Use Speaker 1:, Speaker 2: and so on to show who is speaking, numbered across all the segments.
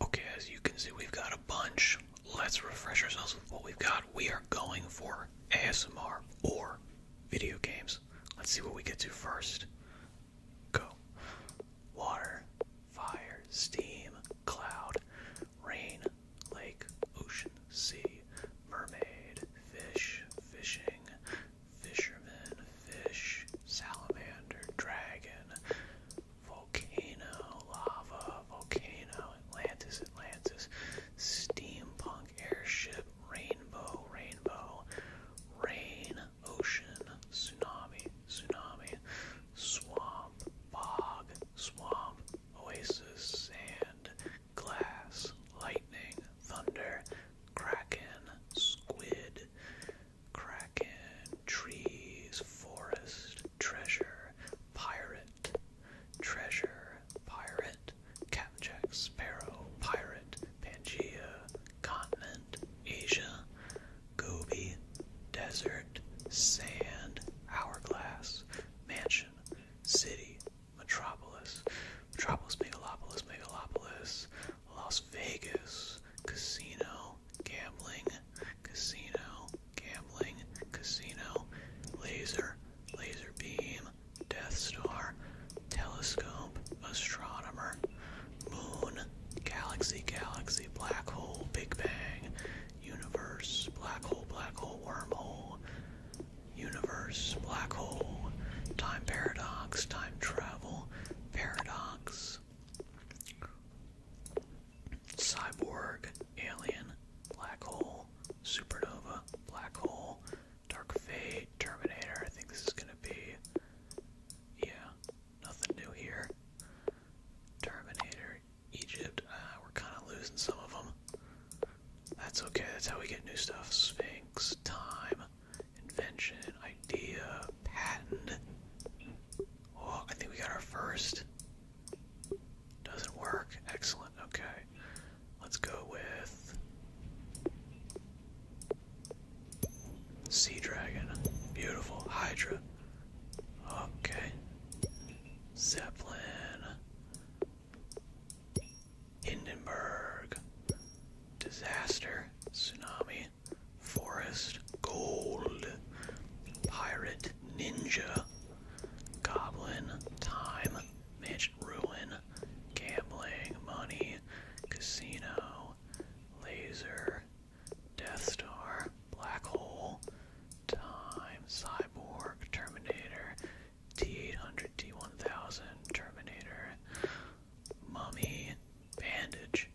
Speaker 1: Okay, as you can see, we've got a bunch. Let's refresh ourselves with what we've got. We are going for ASMR or video games. Let's see what we get to first. Go. Water, fire, steam, cloud, rain, lake, ocean, sea, mermaid, fish, fishing, fisherman, fish, salamander, dragon, volcano, lava, volcano, Atlantis, Atlantis, steampunk, airship, rainbow, rainbow, rain, ocean, tsunami, tsunami, swamp, bog, swamp, oasis, sand, glass, lightning, thunder, kraken, squid, kraken, trees, forest, treasure, pirate, treasure, pirate, jack sparrow, pirate, Pangea, continent, Asia, Gobi, desert, sand, hourglass, mansion, city, metropolis, metropolis, megalopolis, megalopolis, Las Vegas, casino, gambling, casino, gambling, casino, laser, laser beam, Death Star, telescope, astronomer, moon, galaxy, galaxy, black hole, big bang, universe, black hole, black hole, wormhole, universe, black hole, time paradox, time travel, paradox cyborg, alien, black hole, supernova, black hole, dark fate, terminator. I think this is gonna be, yeah, nothing new here. Terminator, Egypt. Uh, we're kind of losing some of them. That's okay. That's how we get new stuff. Sphinx, time, invention, idea, patent. Oh, I think we got our first. Doesn't work. Excellent. Okay. Let's go with Sea Dragon. Beautiful. Hydra. Okay. Zeppelin. Hindenburg. Disaster. Tsunami forest, gold, pirate, ninja, goblin, time, mansion, ruin, gambling, money, casino, laser, death star, black hole, time, cyborg, terminator, T800, T1000, terminator, mommy, bandage,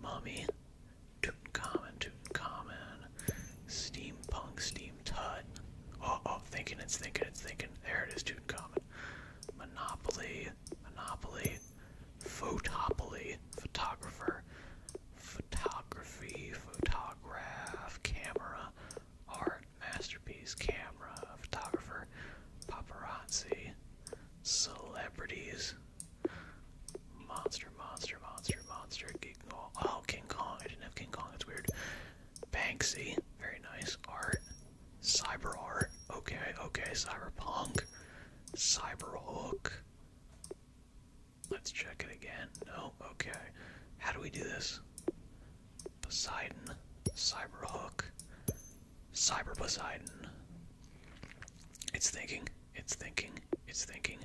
Speaker 1: mommy. Tutankhamun, Tutankhamun, Steampunk, Steam Tut. Oh, oh, thinking it's thinking it's thinking. There it is, common. Monopoly, Monopoly, Photopoly, Photographer, Photography, Photograph, Camera, Art, Masterpiece, Camera, Photographer, Paparazzi, Celebrities, Monster, monster, monster, monster, King Kong. Oh, King Kong. I didn't have King Kong. That's weird. Banksy. Very nice. Art. Cyber art. Okay, okay. Cyberpunk. Cyberhook. Let's check it again. No? Okay. How do we do this? Poseidon. Cyberhook. Cyber Poseidon. It's thinking. It's thinking. It's thinking.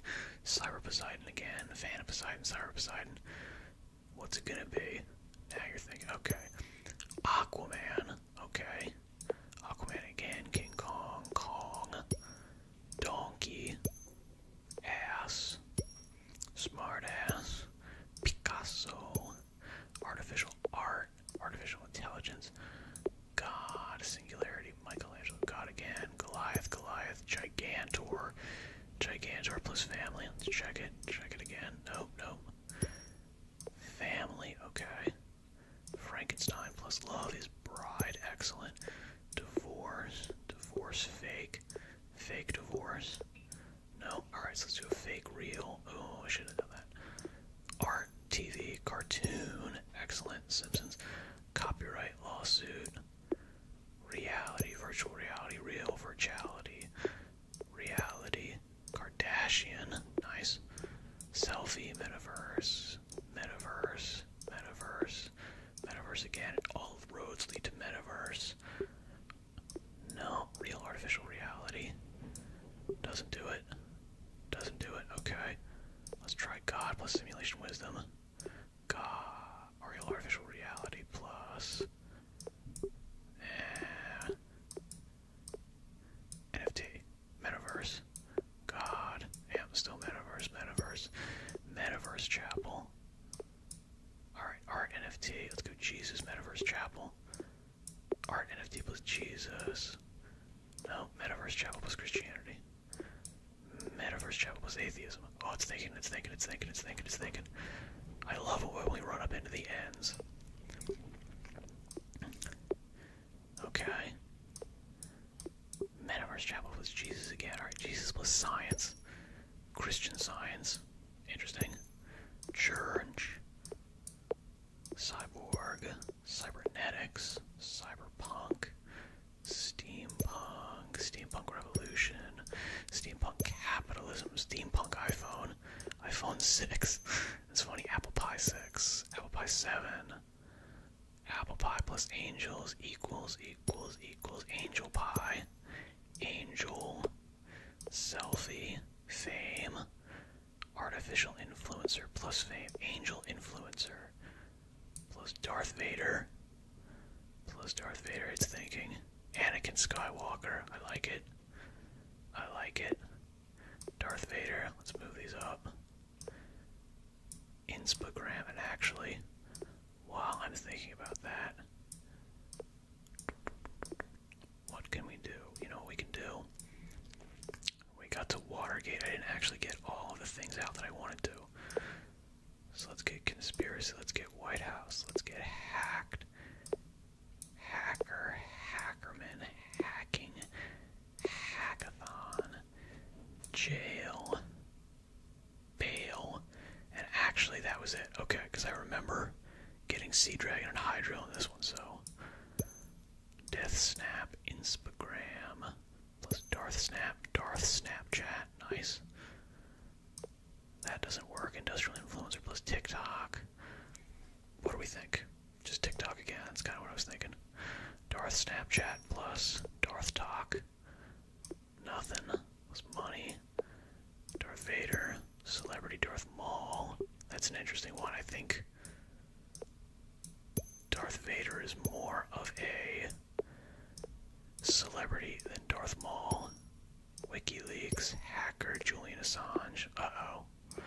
Speaker 1: Cyber Poseidon again. Fan of Poseidon. Cyber Poseidon. What's it gonna be? Now you're thinking. Okay. Aquaman. Okay. Aquaman again. King Kong. Kong. Donkey. Ass. Smart ass. Picasso. Artificial art. Artificial intelligence. God, Singularity, Michelangelo, God again, Goliath, Goliath, Gigantor, Gigantor plus family. Let's check it, check it again. No, no. Family, okay. Frankenstein plus love is bride, excellent. Divorce, divorce fake, fake divorce. No, alright, so let's do a fake real. Oh, I should have done that. Art, TV, cartoon, excellent. Simpsons, copyright lawsuit, reality, virtual reality, real virtuality, reality, Kardashian, nice, selfie, metaverse, metaverse, metaverse, metaverse again, all roads lead to metaverse. No, real artificial reality. Doesn't do it. Doesn't do it. Okay. Let's try God plus simulation wisdom. God, or artificial reality plus. NFT, metaverse, God, yeah, still metaverse, metaverse, metaverse chapel. Alright, art NFT, let's go Jesus, metaverse chapel. Art NFT plus Jesus. No, metaverse chapel plus Christianity. Metaverse Chapel was atheism. Oh, it's thinking, it's thinking, it's thinking, it's thinking, it's thinking. I love it when we run up into the ends. Okay. Metaverse Chapel was Jesus again. Alright, Jesus was science. Christian science. Interesting. Church. Cyborg. Cybernetics. Cyberpunk. Steampunk, Steampunk Revolution, Steampunk Capitalism, Steampunk iPhone, iPhone 6. It's funny, Apple Pie 6, Apple Pie 7, Apple Pie plus Angels equals equals equals Angel Pie, Angel, Selfie, Fame, Artificial Influencer plus Fame, Angel Influencer, plus Darth Vader, plus Darth Vader, it's thinking. Anakin Skywalker, I like it. I like it. Darth Vader, let's move these up. Instagram, and actually, while I'm thinking about that, what can we do? You know what we can do? We got to Watergate. I didn't actually get all of the things out that I wanted to. So let's get conspiracy, let's get White House, let's get hacked. Hacker, hackerman, hacking, hackathon, jail, bail. And actually, that was it. Okay, because I remember getting Sea Dragon and Hydra in this one, so. Death Snap, Instagram. Plus Darth Snap, Darth Snapchat, nice. That doesn't work. Industrial influencer plus TikTok. What do we think? Just TikTok again. That's kind of what I was thinking. Darth Snapchat plus Darth Talk. Nothing. Plus money. Darth Vader. Celebrity Darth Mall. That's an interesting one. I think Darth Vader is more of a Celebrity than Darth Maul. WikiLeaks hacker Julian Assange. Uh oh.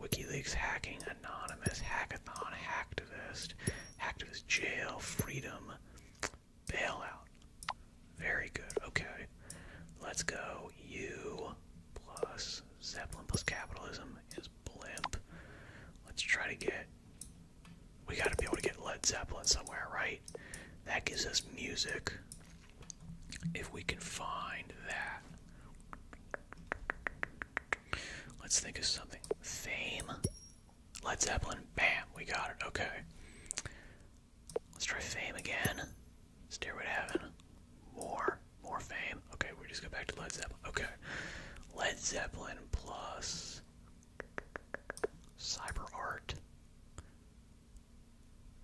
Speaker 1: WikiLeaks hacking anonymous hackathon activist, hacktivist jail freedom bailout. Very good. Okay, let's go. U plus Zeppelin plus capitalism is blimp. Let's try to get we got to be able to get Led Zeppelin somewhere, right? That gives us music. If we can find that. Let's think of something. Fame? Led Zeppelin. Bam, we got it. Okay. Let's try fame again. Stairway to heaven. More. More fame. Okay, we just go back to Led Zeppelin. Okay. Led Zeppelin plus Cyber art.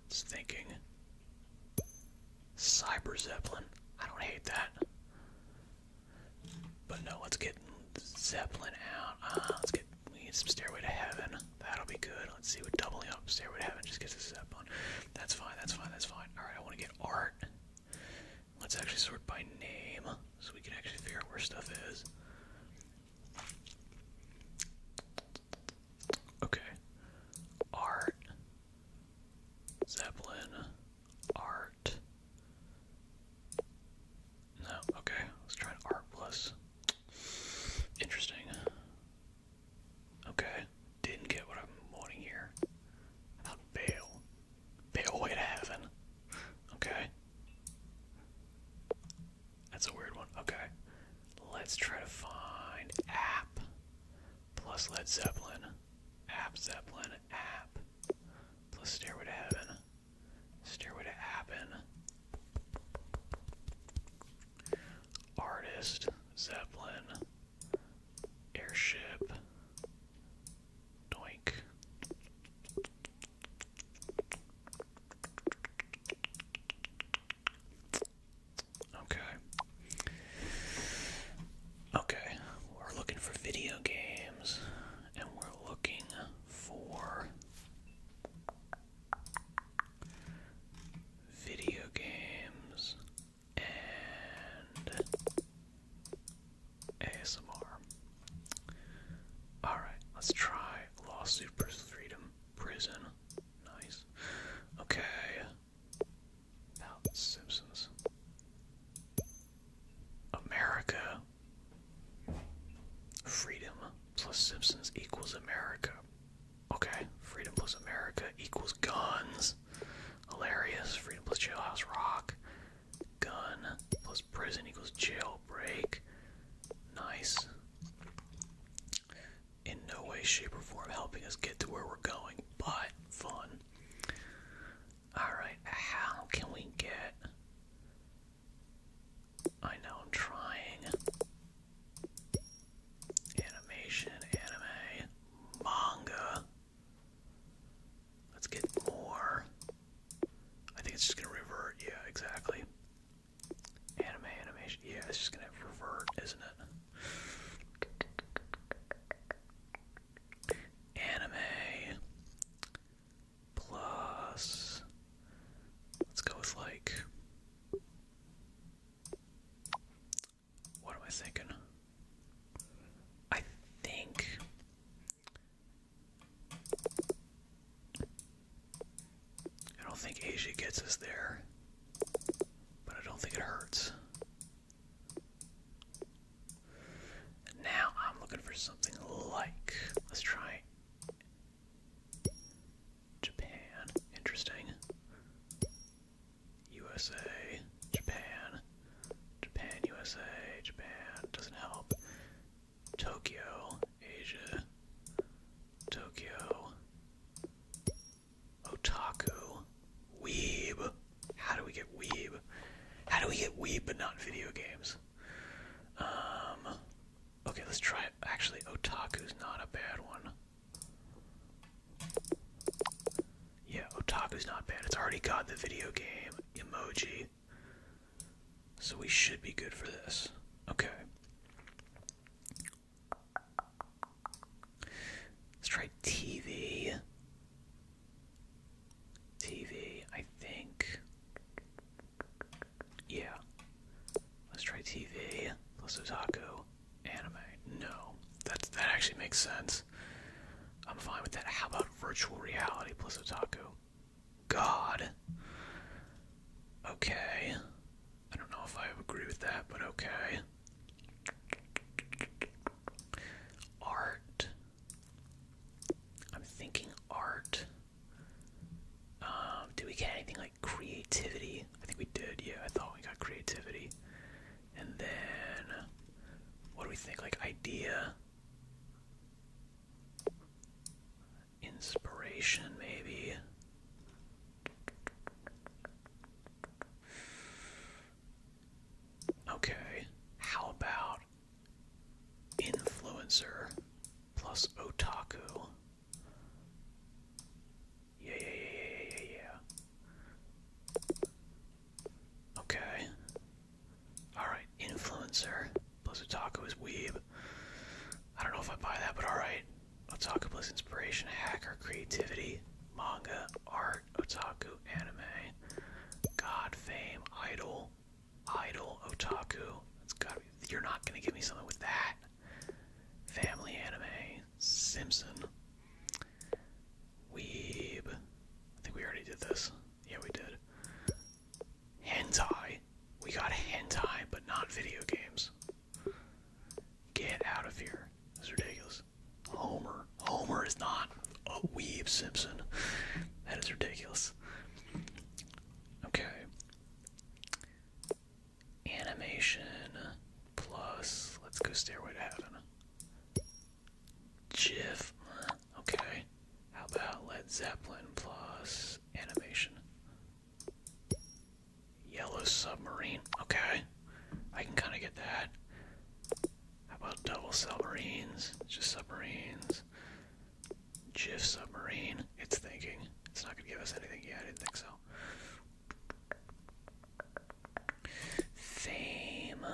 Speaker 1: It's thinking. Cyber Zeppelin. I don't hate that. But no, let's get Zeppelin out. Uh, let's get we need some Stairway to Heaven. That'll be good. Let's see what doubling up Stairway to Heaven just gets a Zeppelin. That's fine. That's fine. That's fine. All right, I want to get art. Let's actually sort by name so we can actually figure out where stuff is. Okay. Art. Zeppelin. Art. No, okay. Let's try art plus. Interesting. Okay. Didn't get what I'm wanting here. How bail? Pathway to Heaven. Okay. That's a weird one. Okay. Let's try to find app plus Led Zeppelin. App Zeppelin. App plus Stairway to Heaven. Stairway to Appen. Artist. Zeppelin. Airship. Doink. Okay. Okay, we're looking for video games and we're looking for video games and ASMR. Alright, let's try Lawsuit versus Freedom Prison. Nice. Okay. Now, Simpsons. America. Freedom plus Simpsons equals America. Okay, freedom plus America equals guns. Hilarious. Freedom plus Jailhouse Rock. Gun plus prison equals jailbreak. Nice. In no way, shape, or form helping us get to where we're going, but fun. Alright, how can we get. I know I'm trying. Animation, anime, manga. Let's get more. I think it's just gonna revert. Yeah, exactly. Anime animation. Yeah, it's just gonna revert, isn't it? Anime plus. Let's go with like. What am I thinking? I think I don't think Asia gets us there, but I don't think it hurts. now I'm looking for something like. Let's try Japan. Interesting. USA, Japan, Japan, USA, Japan. Doesn't help. Tokyo, Asia, Tokyo, Otaku, Weeb. How do we get Weeb? How do we get Weeb but not video games? Um, okay, let's try it. Actually, Otaku's not a bad one. Yeah, Otaku's not bad. It's already got the video game emoji. So we should be good for this. Okay. Let's try TV. TV, I think. Yeah. Let's try TV plus otaku anime. No, that that actually makes sense. I'm fine with that. How about virtual reality plus otaku? God. Okay. I don't know if I agree with that, but okay. Art. I'm thinking art. Um, do we get anything like creativity? I think we did, yeah, I thought we got creativity. And then what do we think? Like idea inspiration, maybe. Okay, how about influencer plus otaku? Yeah, yeah, yeah, yeah, yeah, Okay. All right, influencer. Plus Utaku is weeb. I don't know if I buy that, but alright. Otaku plus inspiration, hacker, creativity, manga, art, otaku, anime, god, fame, idol, idol, otaku. That's got you're not gonna give me something with that. Family anime, Simpson, weeb. I think we already did this. Yeah, we did. Hentai. We got hentai, but not video games. Get out of here. That's ridiculous. Homer. Homer is not a weeb Simpson. That is ridiculous. Okay. Animation plus, let's go Stairway to Heaven. GIF. Okay. How about Led Zeppelin plus animation. Yellow submarine. Okay. I can kind of get that. How about double submarines? Just submarines. Jiff submarine. It's thinking. It's not going to give us anything. Yeah, I didn't think so. Fame.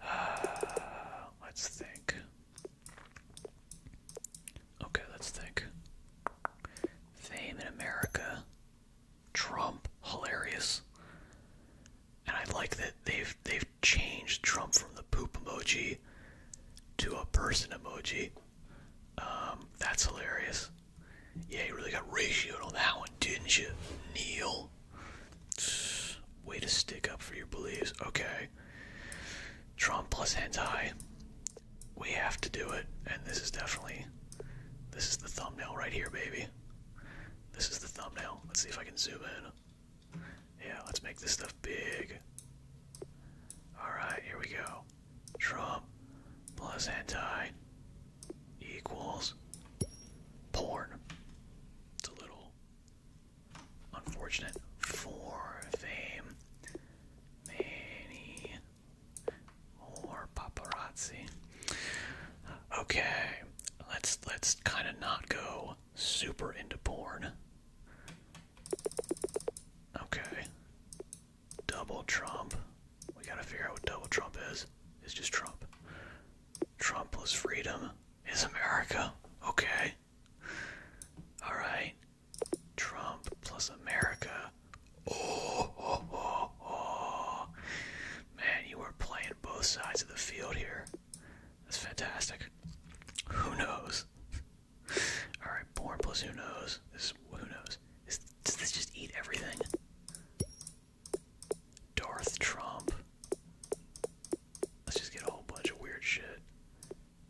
Speaker 1: let's think. Okay, let's think. Fame in America. Trump, hilarious. And I like that they've they've changed Trump from the poop emoji to a person emoji. Um, that's hilarious. Yeah, you really got ratioed on that one, didn't you, Neil? Way to stick up for your beliefs. Okay. Trump plus anti, We have to do it. And this is definitely. This is the thumbnail right here, baby. This is the thumbnail. Let's see if I can zoom in. Yeah, let's make this stuff big. Alright, here we go. Trump plus anti equals porn. It's a little Unfortunate for fame. Many more paparazzi. Okay, let's let's kind of not go super into porn. Okay. Double Trump. We gotta figure out what double Trump is. It's just Trump. Trump plus freedom is America. Okay. Alright. Trump plus America. Oh, oh, oh, oh. Man, you are playing both sides of the field here. That's fantastic. Who knows? Alright, born plus who knows. This is who knows. Is, does this just eat everything? Darth Trump. Let's just get a whole bunch of weird shit.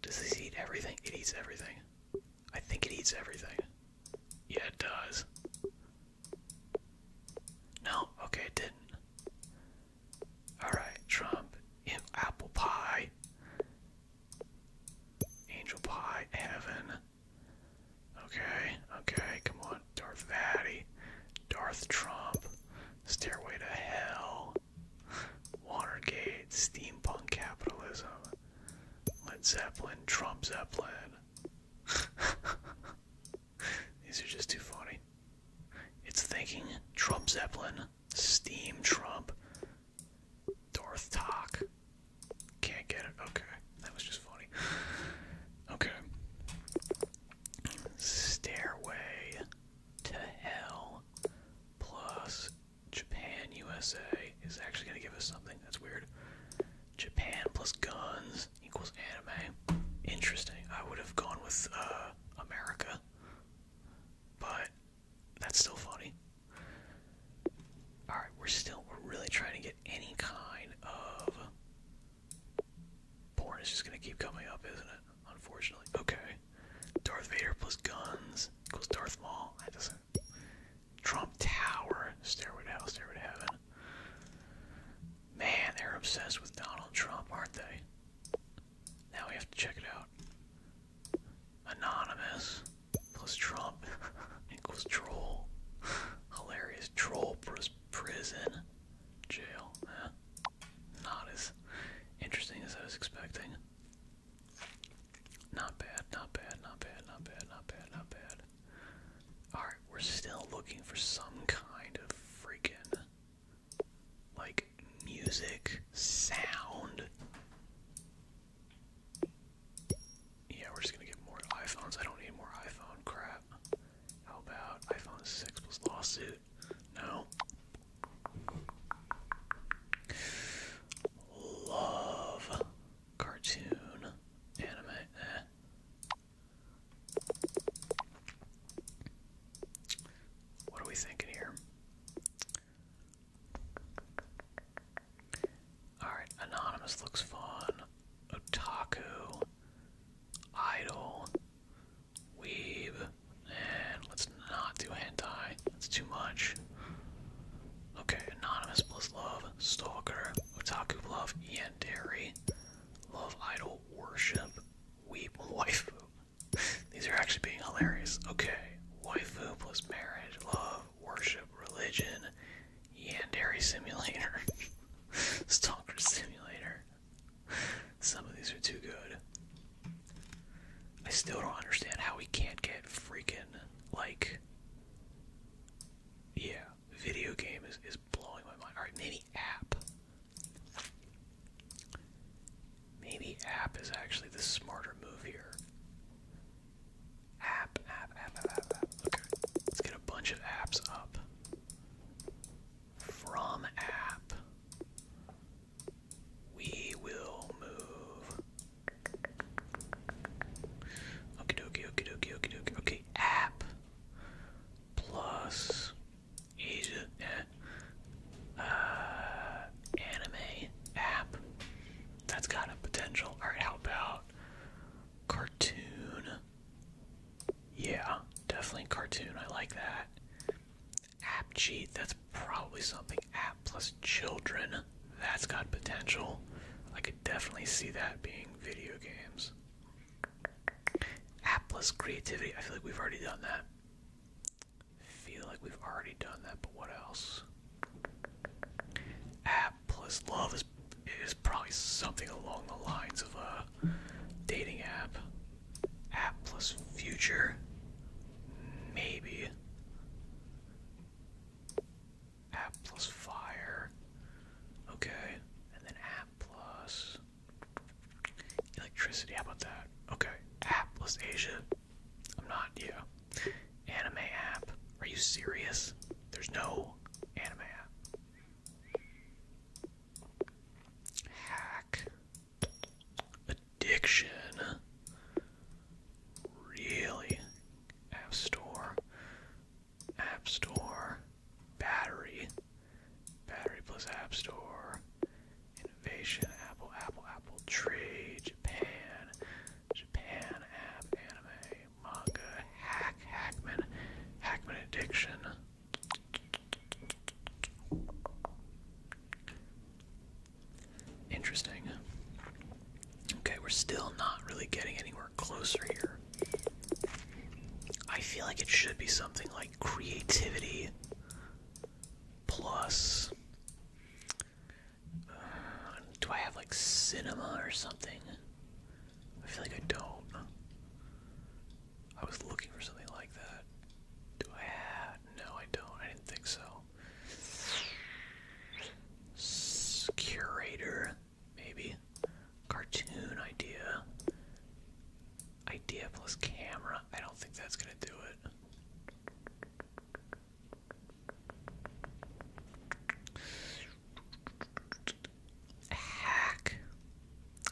Speaker 1: Does this eat everything? It eats everything. I think it eats everything. Yeah, it does. No, okay, it didn't. Alright, Trump, apple pie, angel pie, heaven. Okay, okay, come on. Darth Vaddy, Darth Trump, Stairway to Hell, Watergate, Steampunk Capitalism, Led Zeppelin, Trump Zeppelin. These are just too funny. It's thinking Trump Zeppelin, Steam Trump, Darth Talk. Can't get it. Okay, that was just funny. Okay. Stairway to hell. Plus, Japan USA is actually going to give us something. That's weird. Japan plus guns equals anime. Interesting. I would have gone with uh, America, but that's still funny. All right, we're still we're really trying to get any kind of Porn is just gonna keep coming up, isn't it? Unfortunately. Okay. Darth Vader plus guns equals Darth Maul. That doesn't. Trump Tower. Stairway to Hell, Stairway to Heaven. Man, they're obsessed with Donald Trump, aren't they? Now we have to check it out. Anonymous plus Trump equals troll. Hilarious troll plus prison. Jail not as interesting as I was expecting. Not bad, not bad, not bad, not bad, not bad, not bad. Alright, we're still looking for some kind of freaking, like, music, sound. Yeah, we're just gonna get more iPhones. I don't need more iPhone crap. How about iPhone 6 plus lawsuit? No. Love cartoon anime. Eh? What are we thinking here? Alright, Anonymous looks fun. Otaku. Idol. Weeb. And let's not do hentai. That's too much. Okay, Anonymous plus Love, Stalker, Otaku Love, Yandere, Love Idol, Worship, Weep, Waifu. These are actually being hilarious. Okay, wife, plus Marriage, Love, Worship, Religion, Yandere Simulator, Stalker Simulator, some of these are too good. I still don't understand how we can't get freaking like Yeah, video game is, is blowing my mind. Alright, maybe app. Maybe app is actually the smarter move here. App, app, app, app, app, Let's get a bunch of apps up. From app. We will move. Okie dokie, okie dokie, okie dokie. Okay, app plus is uh, anime app. That's got a potential. All right, how about cartoon? Yeah, definitely cartoon. I like that. App cheat, that's probably something. App plus children, that's got potential. I could definitely see that being video games. App plus creativity, I feel like we've already done that. Feel like we've already done that, but what else? App plus love is is probably something along the lines of a dating app. App plus future. Maybe. App plus fire. Okay. And then app plus electricity. How about that? Okay. App plus Asia. I'm not, yeah. Anime app. Are you serious? There's no anime app. Hack. Addiction. Really? App Store. App Store. Battery. Battery plus App Store. Innovation. Apple, Apple, Apple. Tree. Japan. Japan app. Anime. Manga. Hack. Hackman. Hackman Addiction. Interesting. Okay, we're still not really getting anywhere closer here. I feel like it should be something like creativity plus. Uh, do I have like cinema or something? I feel like I don't. I was looking for something like that. Do I No, I don't. I didn't think so. curator, maybe. Cartoon idea. Idea plus camera. I don't think that's gonna do it. Hack.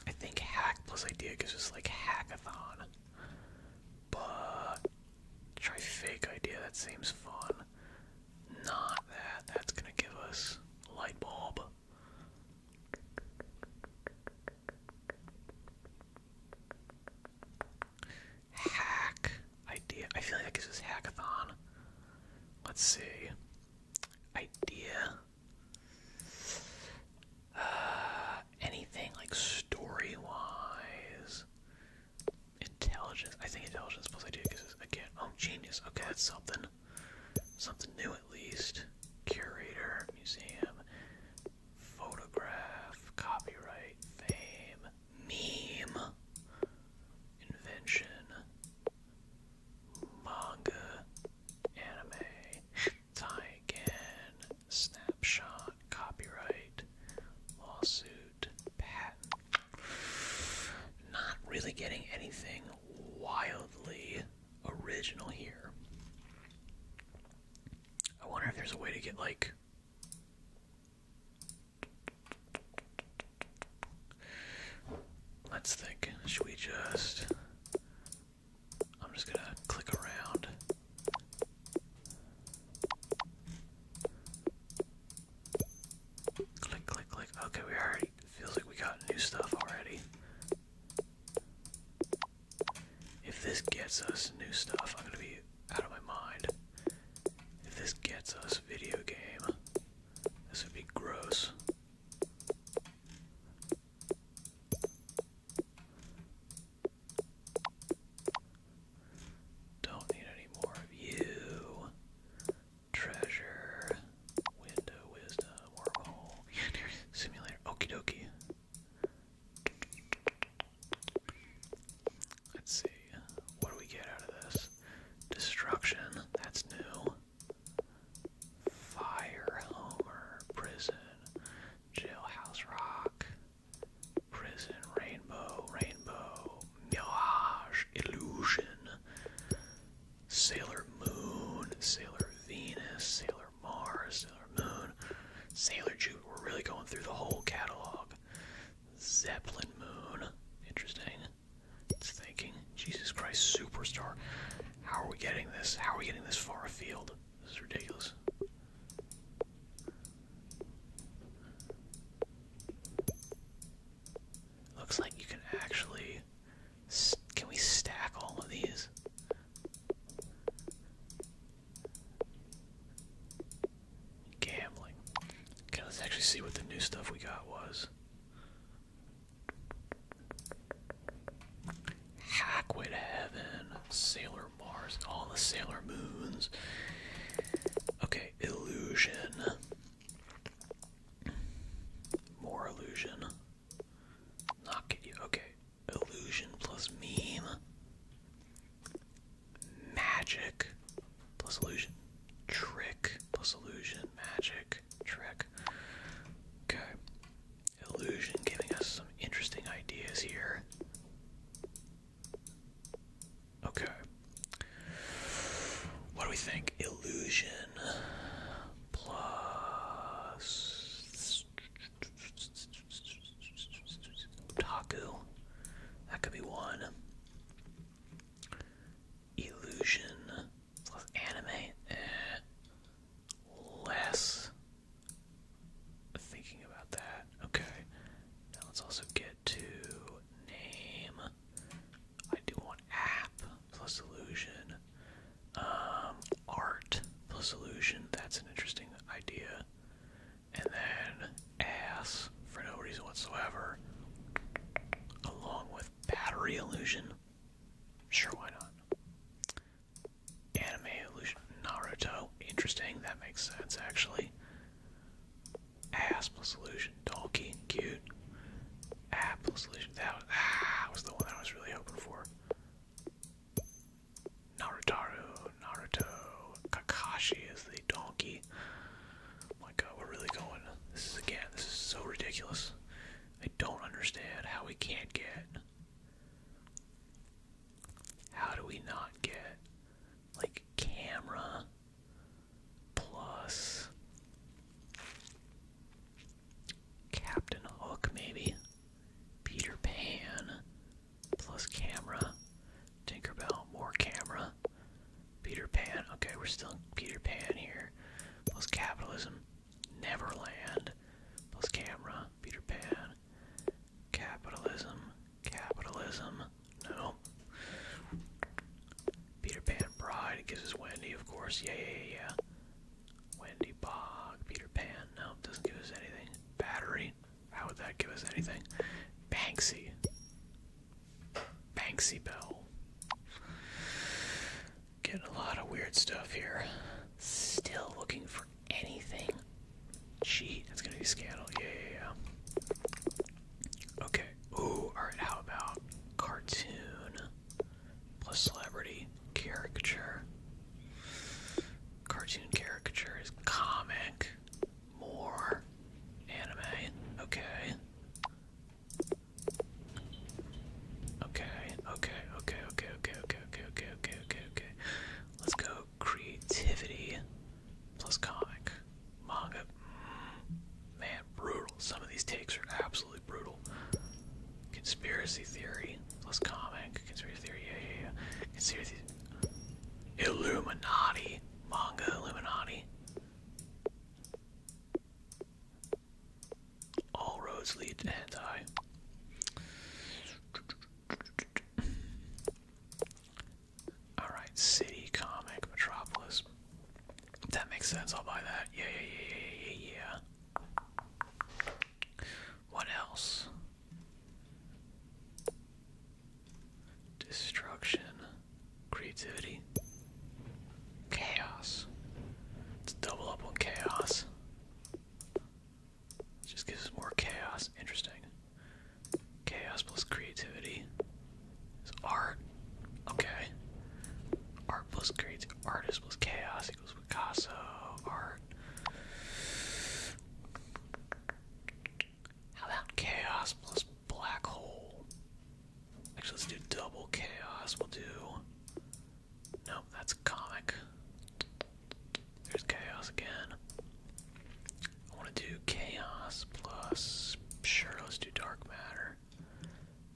Speaker 1: I think hack plus idea gives us like hackathon. But try fake idea, that seems fun. Not that, that's gonna give us light bulb. Hack idea. I feel like that gives hackathon. Let's see. Idea. Uh, anything like story wise, intelligence. I think intelligence plus I do because again, oh genius. Okay, that's something, something new at least. Curator, museum, photograph, copyright, fame, meme, invention, manga, anime again. Snapshot. Copyright. Lawsuit. Patent. Not really getting anything wildly original here. I wonder if there's a way to get like. Let's think. Should we just I'm just gonna click around. Click, click, click. Okay, we already feels like we got new stuff already. If this gets us new stuff, I'm gonna be out of my mind. If this gets us video game, this would be gross. Don't need any more of you. Treasure, window, wisdom, wormhole, simulator, okie dokie. Let's see, what do we get out of this? Destruction, that's new. Fire, Homer, prison, Jailhouse Rock, Prison Rainbow, Rainbow, Mirage, Illusion, Sailor Moon, Sailor Venus, Sailor Mars, Sailor Moon, Sailor Jude. We're really going through the whole catalog. Zeppelin Moon, interesting. It's thinking, Jesus Christ, superstar. How are we getting this? How are we getting this far afield? This is ridiculous. Looks like you can actually. Can we stack all of these? Gambling. Okay, let's actually see what the new stuff we got was. Hackway to Heaven, Sailor Mars, all the Sailor Moons. Okay, illusion. More illusion. Knock at Okay, illusion plus meme. Magic plus illusion. Trick plus illusion. Magic. Trick. Okay. Illusion giving us some interesting ideas here. Okay. What do we think? Illusion plus Taku. That could be one. Illusion plus anime. Eh, less thinking about that. Okay. Now let's also get to name. I do want app plus illusion. Um, art plus illusion. That's an interesting idea. And then ass for no reason whatsoever. Along with battery illusion. Sure, why not? Anime illusion. Naruto. Interesting. That makes sense, actually. Ass illusion. Donkey. Cute. Apple plus illusion. Ah, that was, the one I was really hoping for. Naruto. Naruto. Kakashi is the donkey. my god, we're really going. This is, again, this is so ridiculous. I don't understand how we can't get how do we not get like camera plus Captain Hook, maybe? Peter Pan plus camera. Tinkerbell, more camera. Peter Pan, okay, we're still Peter Pan here. Plus capitalism. Neverland plus camera. Peter Pan, capitalism, capitalism, no. Peter Pan Pride, gives us Wendy, of course, yeah, yeah, yeah. Wendy Bog, Peter Pan, no, doesn't give us anything. Battery, how would that give us anything? Banksy, Banksy Bell. Getting a lot of weird stuff here. Still looking for anything. Gee, that's gonna be scandal. Yeah, yeah, yeah. Okay. Ooh, alright, how about cartoon plus celebrity caricature? Cartoon caricature is comic, more anime. Okay, okay, okay, okay, okay, okay, okay, okay, okay, okay. Let's go creativity plus comic manga. Man, brutal. Some of these takes are absolutely brutal. Conspiracy theory plus comic. Conspiracy theory, yeah, yeah, yeah. Conspiracy. Illuminati. Manga Illuminati. All roads lead to anti. Alright, City Comic Metropolis. That makes sense, I'll buy that. Yeah, yeah, yeah, yeah, yeah, yeah. What else? Destruction. Creativity. Chaos. Let's double up on chaos just gives us more chaos. Interesting. Chaos plus creativity is art. Okay. Art plus creative artist plus chaos equals Picasso. Art. How about chaos plus black hole? Actually, let's do double chaos. We'll do. Nope, that's comic. There's chaos again. I want to do chaos plus. Sure, let's do dark matter.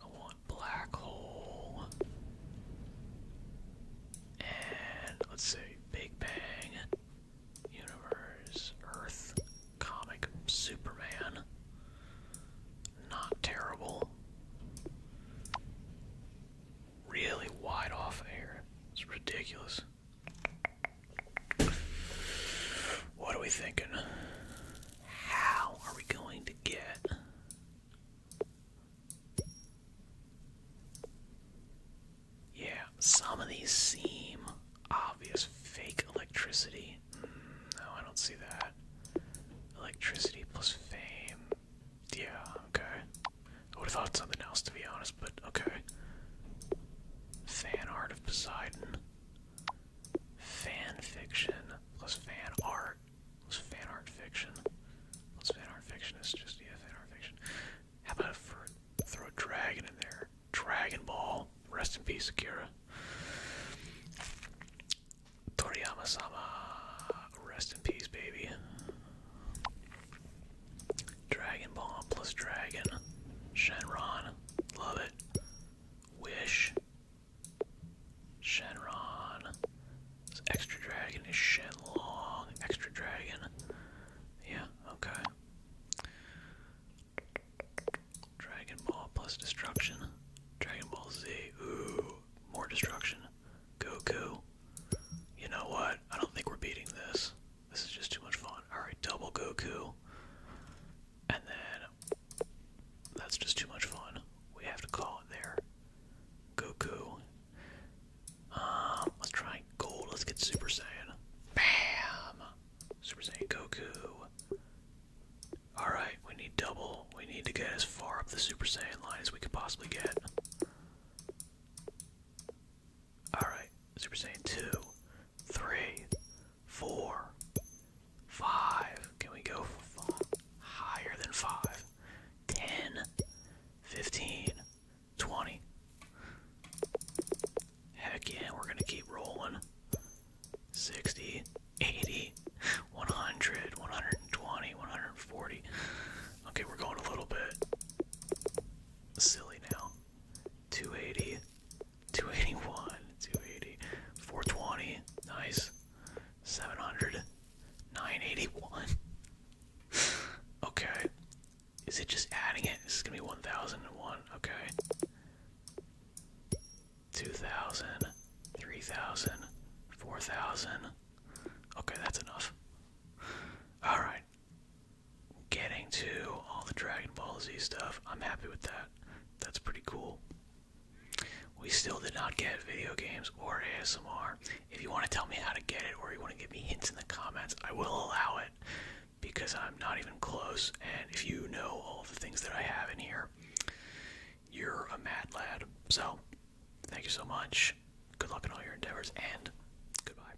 Speaker 1: I want black hole. And let's say Big Bang, Universe, Earth, Comic, Superman. Not terrible. Really wide off air. It's ridiculous. What are we thinking? How are we going to get Yeah, some of these seem obvious fake electricity. Mm, no, I don't see that. Electricity plus fame. Yeah, okay. I would have thought something else to be honest, but okay. Fan art of Poseidon. Fan fiction plus fan art plus fan art fiction. Plus fan art fiction is just yeah, fan art fiction. How about throw a dragon in there? Dragon Ball. Rest in peace, Akira. Toriyama-sama, rest in peace, baby. Dragon Ball plus Dragon. Shenron. Love it. Wish. Shenron. This extra dragon is Shenlong. Extra dragon. Yeah, okay. Dragon Ball plus destruction. Dragon Ball Z. Ooh, more destruction. Goku. You know what? I don't think we're beating this. This is just too much fun. Alright, double Goku. And then that's just too much fun. We have to call it there. Goku. Um, let's try gold. Let's get Super Saiyan. Bam! Super Saiyan Goku. Alright, we need double. We need to get as far up the Super Saiyan line as we could possibly get. Alright, Super Saiyan 2, 3, 4, 5. Can we go higher than 5? 10, 15, 20. Heck yeah, we're gonna keep rolling. 60, 80, 100, 120, 140. Okay, we're going a little bit silly now. 280, 281, 280, 420, nice, 700, 981. okay. Is it just adding it? This is gonna be 1001, okay. 2000, 3000, 4000. Okay, that's enough. Alright, getting to all the Dragon Ball Z stuff. I'm happy with that. That's pretty cool. We still did not get video games or ASMR. If you want to tell me how to get it or you want to give me hints in the comments, I will allow it because I'm not even close. And if you know all the things that I have in here, you're a
Speaker 2: mad lad. So, thank you so much. Good luck in all your endeavors and goodbye.